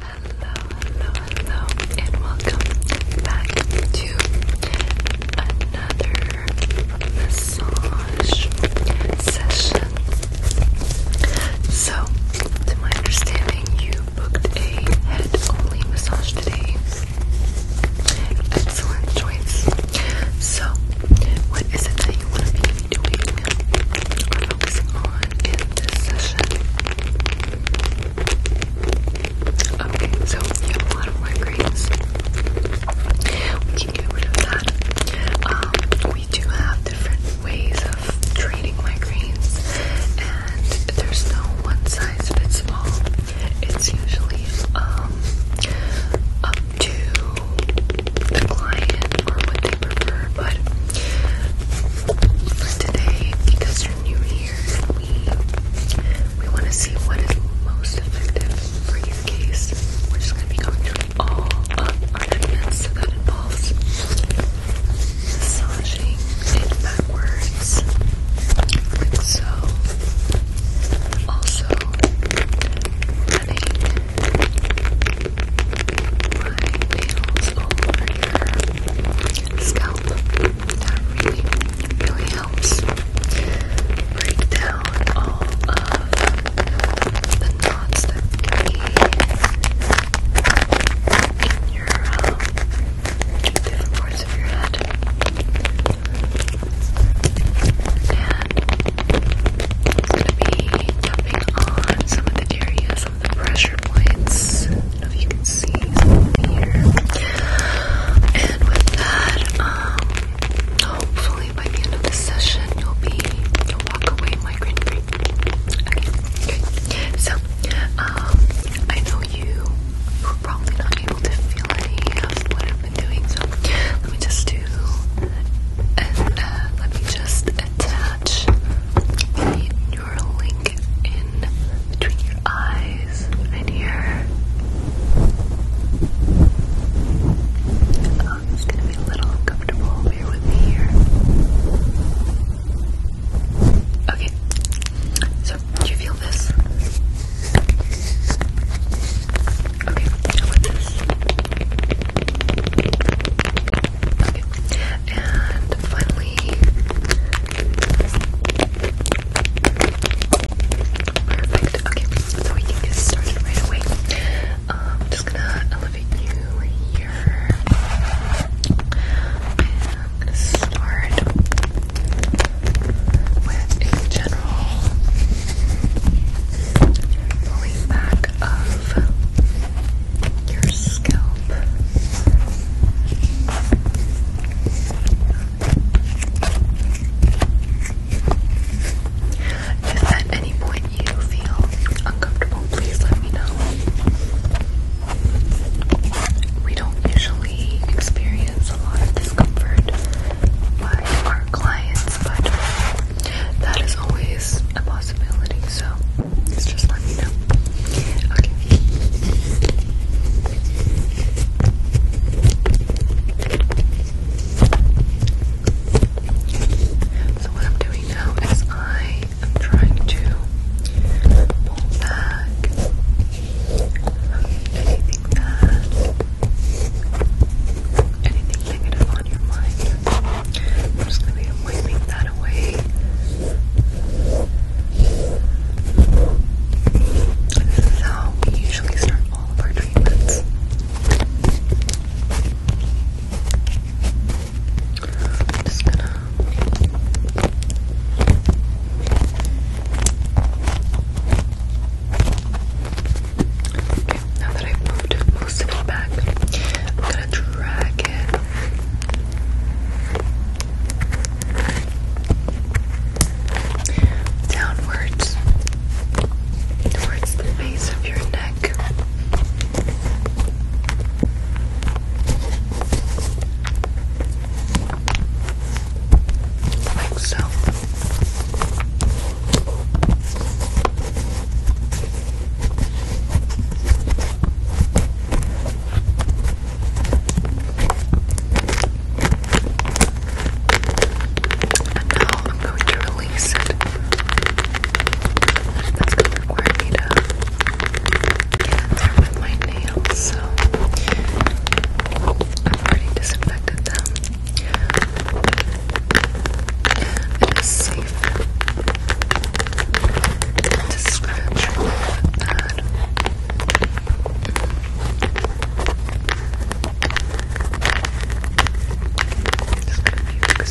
Hello, hello, hello, and welcome back to another massage session. So, to my understanding, you booked a head only massage today. Excellent choice. So, what is it that you want to be doing or on in this session? Okay, so you have a lot of migraines. We can get rid of that. Um, we do have different ways of treating migraines, and there's no one size fits all. It's usually um, up to the client or what they prefer, but Today, because you're new here, we we want to see what is most effective for your case. We're just going to be going through all of our evidence so that involves massaging it backwards, like so. Also, running my nails over your scalp. That really, really helps break down all of the knots that can be in your um, different parts of your head. And i going to be tapping on some of the areas the pressure points. if you can see here. And with that, um, hopefully by the end of this session, you'll be you'll walk away migraine free. Okay, So, um, I know you were probably not able to feel any of what I've been doing, so let me just do and uh, let me just attach your link in between your eyes right here. Um, it's gonna be a little uncomfortable. Bear with me here. Okay. So, do you feel this? Okay, and finally, perfect. Okay, so we can get started right away. I'm just gonna elevate you here. gonna start with a general pulling of your scalp. If at any point you feel uncomfortable, please let me know. We don't usually experience a lot of discomfort by our clients, but that is always a possibility, so it's just let me know. Okay. So what I'm doing now is I am trying to pull back anything that anything negative on your mind. I'm just going to be wiping that away. This is how we usually start all of our treatments. just gonna now that I've moved most of it back, I'm gonna drag it. Downwards towards the base of your neck. Like so. And now I'm going to release it. That's going to require me to get there with my nails, so I've already disinfected them. It is safe to scratch with that. Just going to the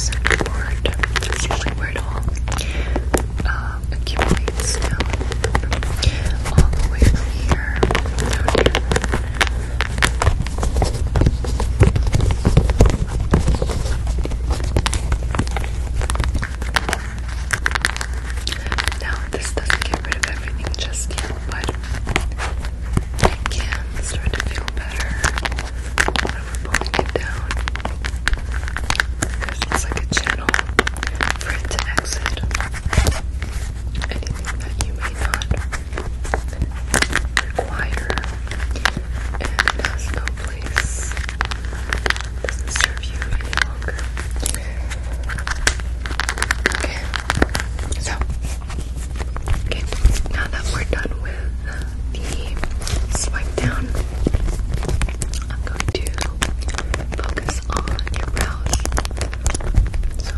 second word. where it all accumulates All the way from here down here. Now, this doesn't get rid of everything just yet, but I can start to feel better when we're pulling it down. Because it's like a channel for it to exit anything that you may not require, and it has no doesn't serve you any longer. Okay, so okay, now that we're done with the swipe down, I'm going to focus on your brows. So,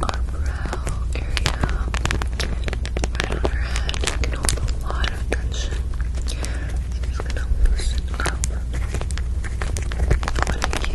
our brow area, right on our head, can hold a lot of tension. So i gonna loosen up when can. Just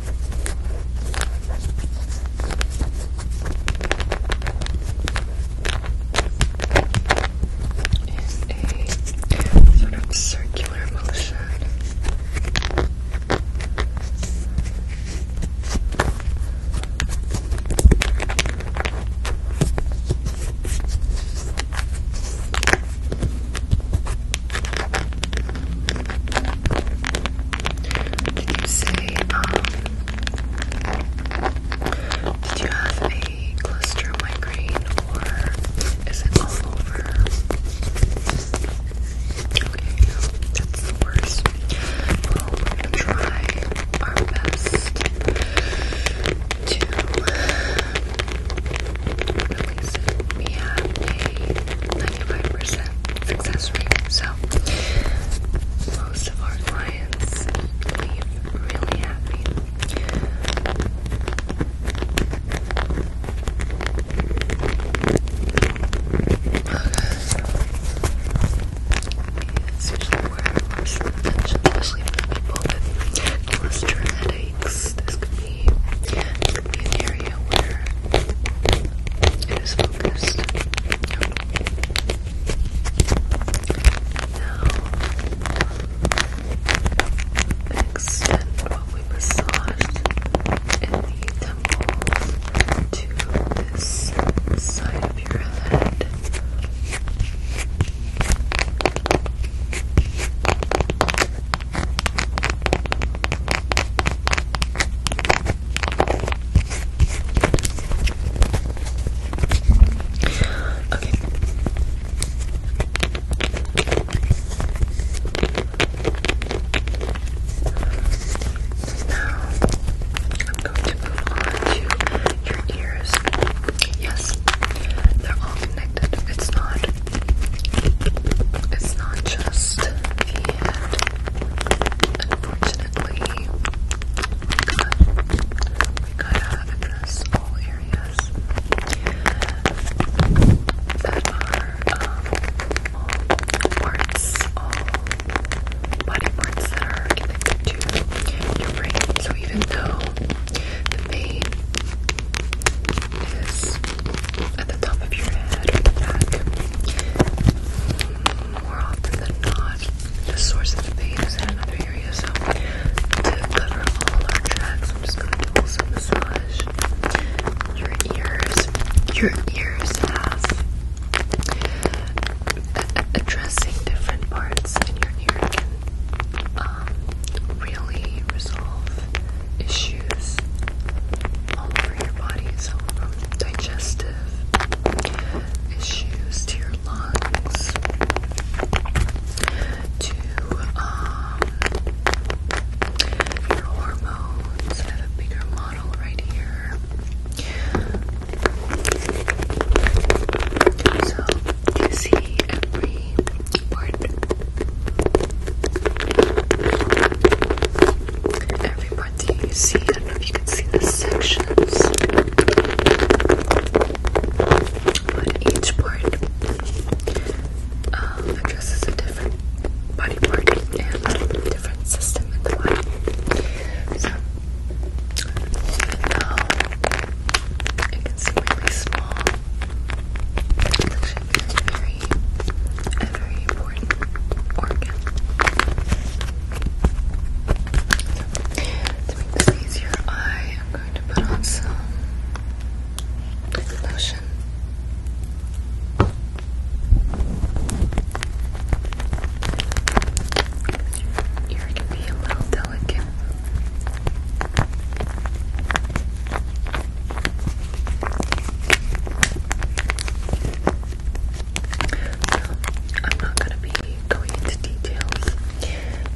a sort of circular motion. Did you say, um, did you have a cluster migraine or is it all over? Okay, that's the worst. we're gonna try our best to release it. We a 95% success So most of our clients leave really happy. It's usually where especially for people with cluster headaches. This could be an area where it is focused. Now, extend what we massaged in the temple to this side of your head. Okay. Now I'm going to move on to your ears. Yes, they're all connected. It's not it's not just the end. Unfortunately, we gotta address all areas that are um, parts, all body parts that are connected to your brain. So even though the pain is at the top of your head or the back. More often than not, the source of the pain is in another area. So, to cover all our tracks, I'm just going to do also massage your ears. Your ears have addressing different parts in your ear can um, really resolve issues all over your body. So, from digestive issues to your lungs to um, your hormones. I have a bigger model right here. So, you see every part Every part that you see, I don't know if you can see the sections, but each part um, addresses a different body part and a different system in the body. So, even though it can seem um, really small, Suction is very, a very important organ. to make this easier, I am going to put on some lotion. Your ear can be a little delicate. I'm not gonna be going into details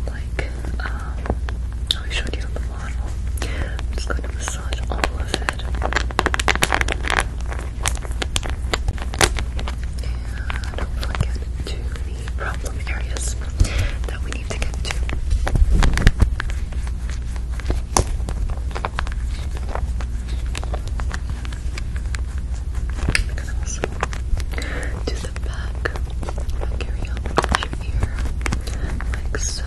like um, I showed you on the model. I'm just gonna massage all of it. And hopefully get to the problem areas that we need to get to. Because i the back. carry on your ear, like so.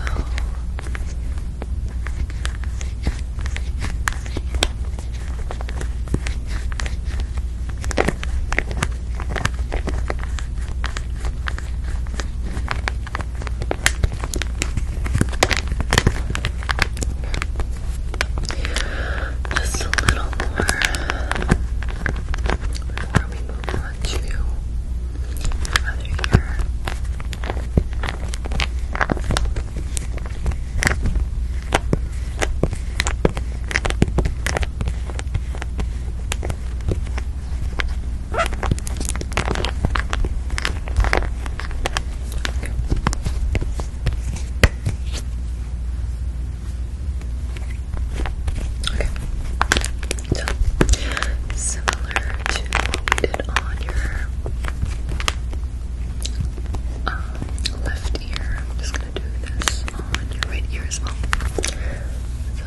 Just a little more before we move on to the other Okay. So similar to what we did on your um, left ear, I'm just gonna do this on your right ear as well.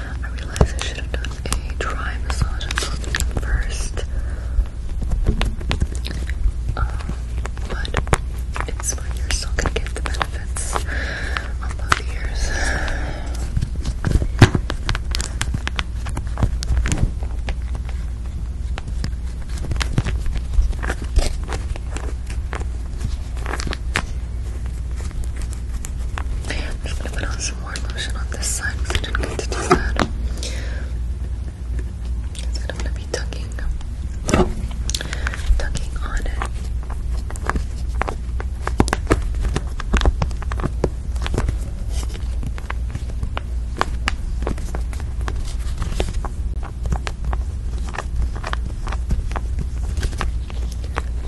I realized I should have done a dry massage and something first. Uh, but it's fine, you're still gonna get the benefits on both ears. I'm just gonna put on some more lotion on this side I didn't get to do that. Because I'm gonna be tucking, tucking on it.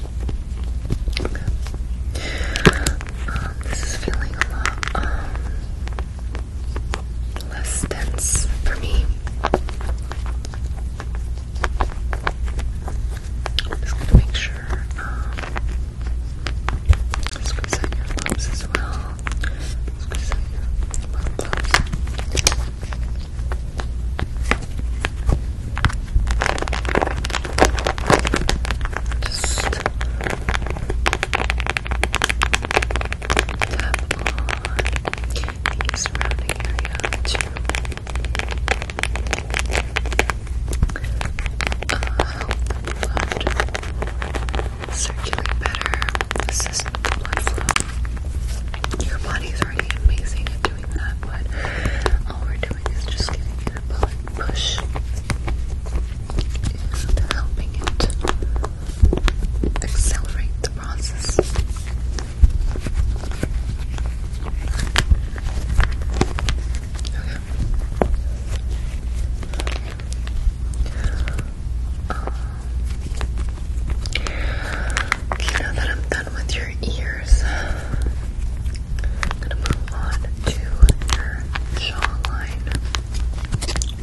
Okay. Um, this is feeling a lot um, less dense for me. just gonna make sure um, squeeze out your lips as well. Squeeze out your lips. Just tap on the surrounding area to uh, help uh, circulate better, assist with the blood flow. Your body's already amazing at doing that, but all we're doing is just giving it a push and helping it accelerate the process. Um, now that I'm done with your ears, I'm gonna move on to your jawline. You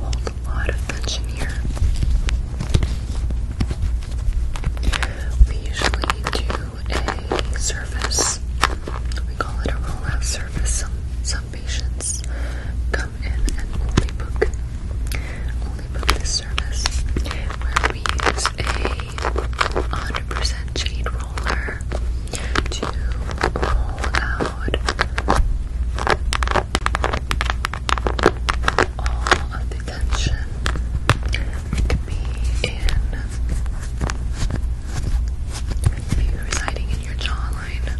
hold a lot of tension here. We usually do a surface. We call it a roll out surface. Some some patients in and only book only book this service where we use a 100% jade roller to roll out all of the tension that could be in maybe residing in your jawline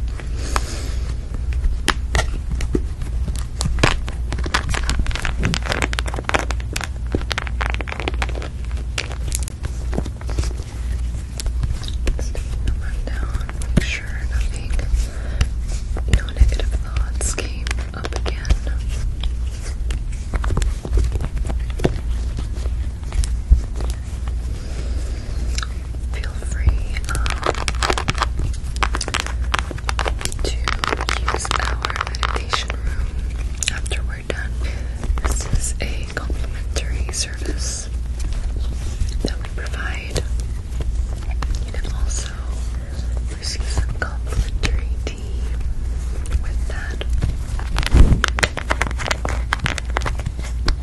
Let's down. Make sure nothing, no negative thoughts came up again feel free um, to use our meditation room after we're done. This is a complimentary service that we provide. You can also receive some complimentary tea with that. I'm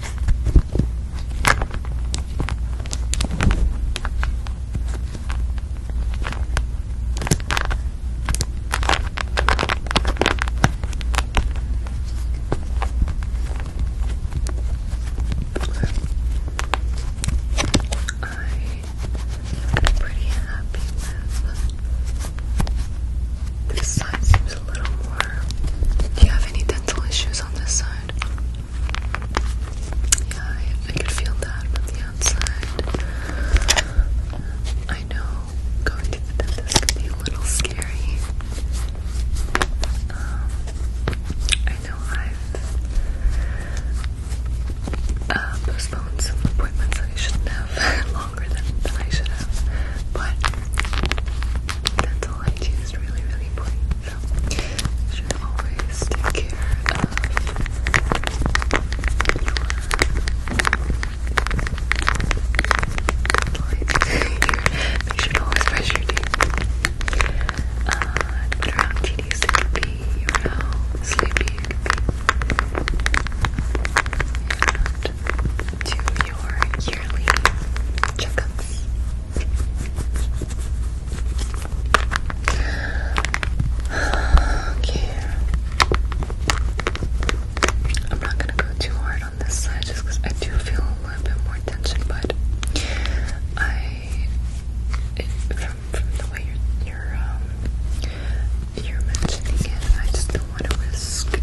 pretty happy with this side seems a little more. Do you have any dental issues on this side? inside. Yeah, I, I could feel that from the outside. I know going to the dentist can be a little scary. Um, I know I've uh, postponed some appointments that I shouldn't have longer than, than I should have, but dental hygiene really, really important know, you should always take care of your you should always brush your teeth. Uh, or sleepy And do your yearly checkups. Okay. I'm not gonna go too hard on this side just because I do feel a little bit more tension, but I from from the way you're you're um you're mentioning it, I just don't want to risk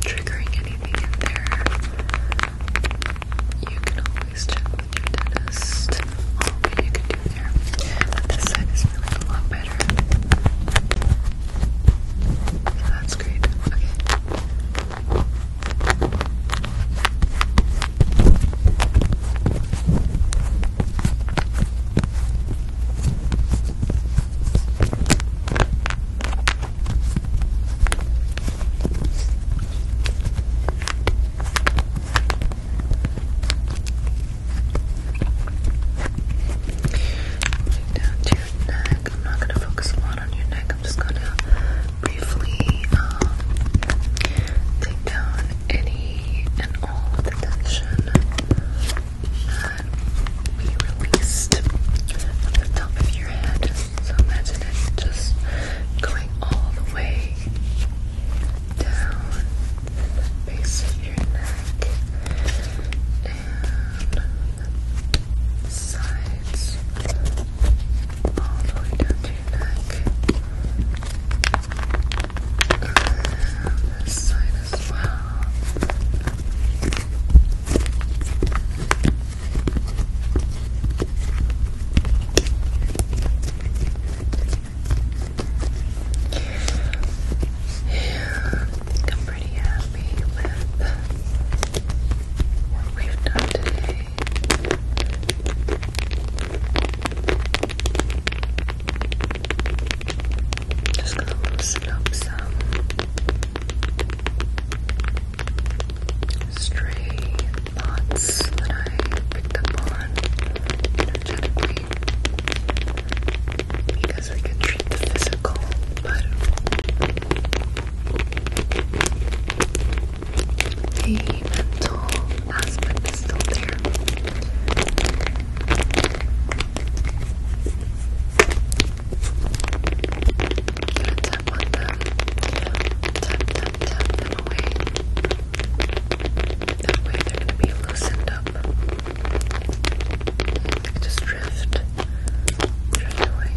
triggering anything in there, you can always check with your dentist on what you can do there. But this side is feeling a lot better. So that's great. Okay, down to your neck. I'm not going to focus a lot on your neck. I'm just going to briefly take down any and all the tension be released from the top of your head. So imagine it just going all the way down the base of your neck and sides all the way down to your neck. And this as well. Yeah, I think I'm pretty happy with what we've done today. Just gonna loosen some stray thoughts that I picked up on energetically because we can treat the physical, but the mental aspect is still there. Yeah, tap on Tap, tap, tap them away. they're going to be loosened up. Just drift. Drift away.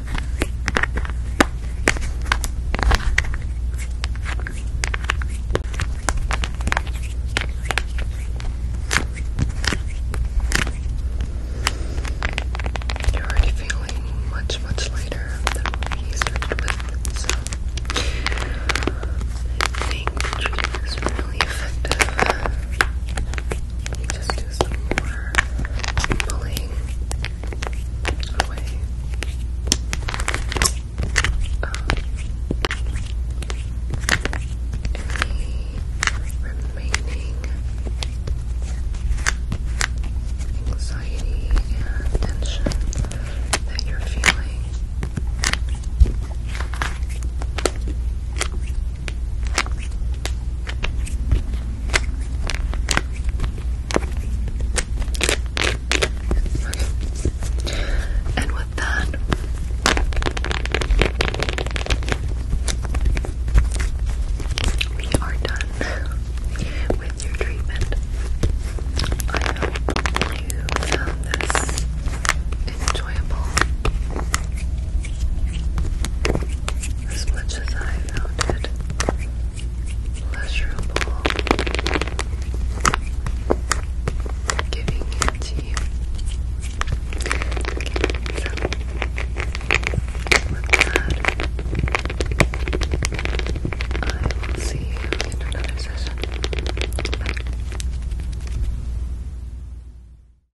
You're already feeling much, much lighter than what started with, so I think the treatment is really effective. Just do some more pulling away. Um, any remaining anxiety and tension that you're feeling. And with that, we are done with your treatment. I hope you found this enjoyable as much as I found it pleasurable giving it to you. with that, I will see you in another session.